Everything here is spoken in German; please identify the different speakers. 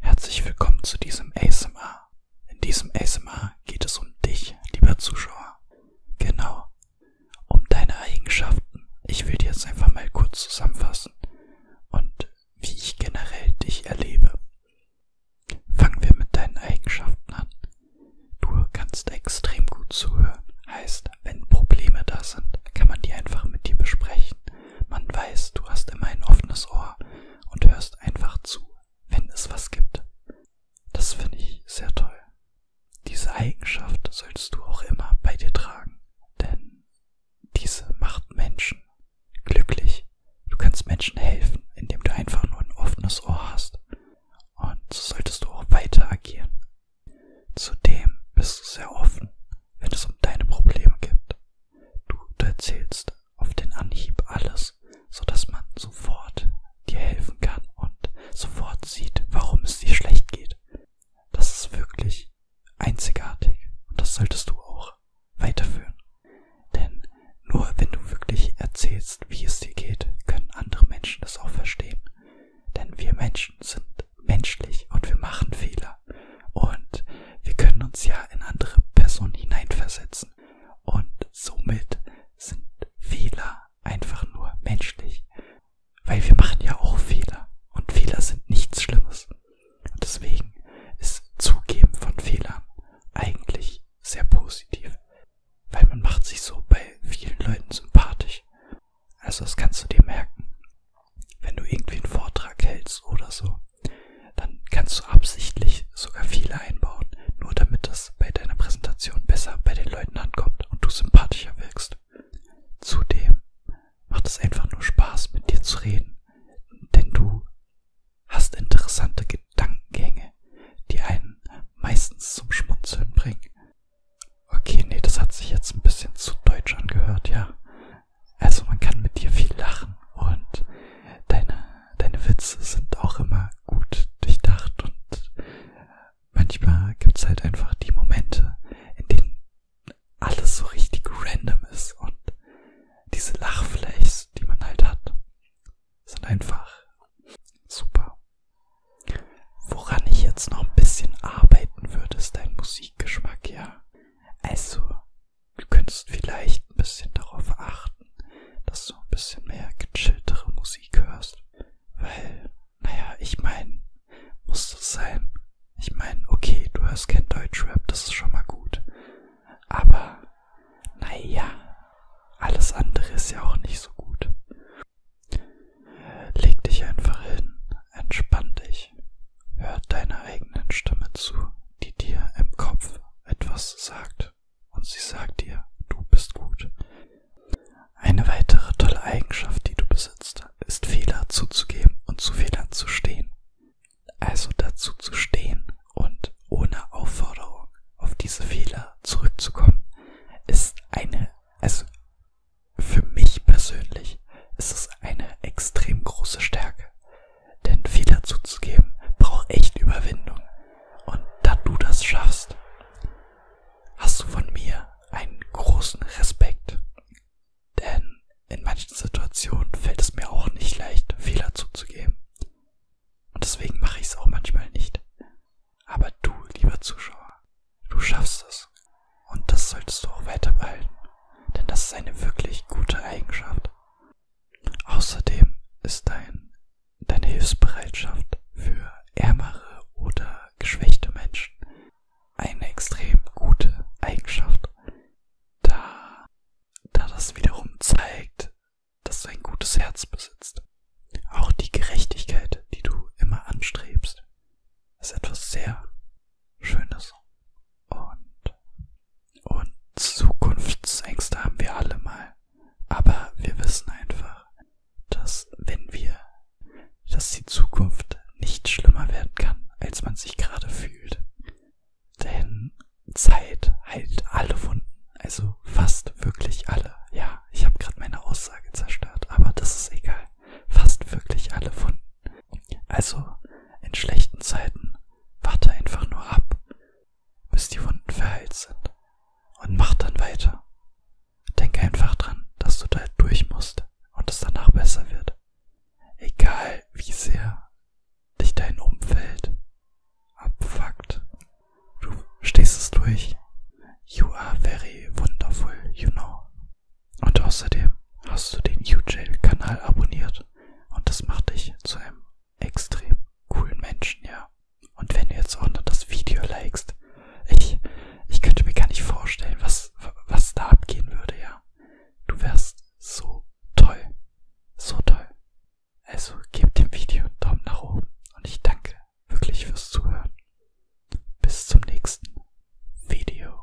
Speaker 1: Herzlich willkommen zu diesem ASMR. In diesem ASMR geht es um dich, lieber Zuschauer. Genau, um deine Eigenschaften. Ich will dir jetzt einfach mal kurz zusammenfassen und wie ich generell dich erlebe. Fangen wir mit deinen Eigenschaften an. Du kannst extrem gut zuhören. Heißt, wenn Probleme da sind, kann man die einfach mit dir besprechen. Man weiß, du hast immer ein offenes Ohr und hörst einfach zu, wenn es was gibt. Das finde ich sehr toll. Diese Eigenschaft sollst du auch immer bei dir tragen, denn diese macht Menschen glücklich. Du kannst Menschen helfen, indem du einfach nur ein offenes Ohr hast. Und so solltest du auch weiter agieren. Zudem bist du sehr offen, wenn es um deine Probleme geht. Du erzählst auf den Anhieb alles, sodass man sofort dir helfen kann und sofort sieht, warum es dir schlecht geht. Das ist wirklich einzigartig und das solltest du auch weiterführen. Denn nur wenn du wirklich erzählst, wie es dir geht, können andere Menschen das auch verstehen. Denn wir Menschen sind menschlich und wir machen Fehler. Und wir können uns ja in andere Personen hineinversetzen. Und somit sind Fehler einfach nur menschlich. Weil wir machen ja auch Fehler. Und Fehler sind nichts Schlimmes. Und deswegen ist Zugeben von Fehlern eigentlich sehr positiv. Weil man macht sich so bei vielen Leuten sympathisch. Also das kannst du dir merken wenn du irgendwie einen Vortrag hältst oder so, dann kannst du absichtlich sogar viele einbauen, nur damit das bei deiner Präsentation besser bei den Leuten ankommt und du sympathischer wirkst. Zudem macht es einfach nur Spaß, mit dir zu reden, denn du hast interessante Gedankengänge, die einen meistens zum Schmunzeln bringen. Okay, nee, das hat sich jetzt ein bisschen zu deutsch angehört, ja. Also man kann mit dir viel lachen und deine, deine Witze sind auch immer gut durchdacht und manchmal gibt es halt einfach die Momente, in denen alles so richtig random ist und diese Lachflächs, die man halt hat, sind einfach super. Woran ich jetzt noch ein bisschen arbeiten würde, ist dein Musikgeschmack, ja. Also, Du könntest vielleicht ein bisschen darauf achten, dass du ein bisschen mehr gechilltere Musik hörst. Weil, naja, ich meine, muss das sein. Ich meine, okay, du hörst kein Deutschrap, das ist schon mal gut. Aber, naja, alles andere ist ja auch nicht so gut. Äh, leg dich einfach hin, entspann dich. Hör deiner eigenen Stimme zu, die dir im Kopf etwas sagt. Und sie sagt dir, du bist gut. Eine weitere tolle Eigenschaft, die du besitzt, ist Fehler zuzugeben und zu Fehlern zu stehen. Also dazu zu stehen und ohne Aufforderung auf diese Fehler zurückzukommen, ist eine, also für mich persönlich ist es eine extrem große Stärke. Denn Fehler zuzugeben braucht echt Überwindung. Und da du das schaffst, hast du von mir einen großen Respekt. Denn in manchen Situationen fällt es mir auch nicht leicht, Fehler zuzugeben. Und deswegen mache ich es auch manchmal nicht. Aber du, lieber Zuschauer, du schaffst es. Und das solltest du auch weiter behalten, denn das ist eine wirklich gute Eigenschaft. Außerdem ist dein, deine Hilfsbereitschaft für ärmere oder geschwächte Menschen eine extrem gute Eigenschaft, da, da das wiederum zeigt, dass du ein gutes Herz besitzt. Auch die Gerechtigkeit, die du immer anstrebst, ist etwas sehr schöner Song. Und, und Zukunftsängste haben wir alle mal. Aber wir wissen einfach, dass wenn wir, dass die Zukunft nicht schlimmer werden kann, als man sich gerade fühlt. Denn Zeit heilt alle Wunden. Also fast wirklich alle. Ja, ich habe gerade meine Aussage zerstört, aber das ist egal. Fast wirklich alle Wunden. Also, in schlechten Zeiten warte einfach nur ab, bis die Wunden verheilt sind und mach dann weiter. Denk einfach dran, dass du da durch musst und es danach besser wird. Egal wie sehr dich dein Umfeld abfuckt, du stehst es durch. You are very wonderful, you know. Und außerdem hast du den UJL-Kanal abonniert und das macht dich zu einem extrem coolen Menschen, ja. Und wenn du jetzt auch noch das Video likest, ich, ich könnte mir gar nicht vorstellen, was, was da abgehen würde, ja. Du wärst so toll. So toll. Also gebt dem Video einen Daumen nach oben und ich danke wirklich fürs Zuhören. Bis zum nächsten Video.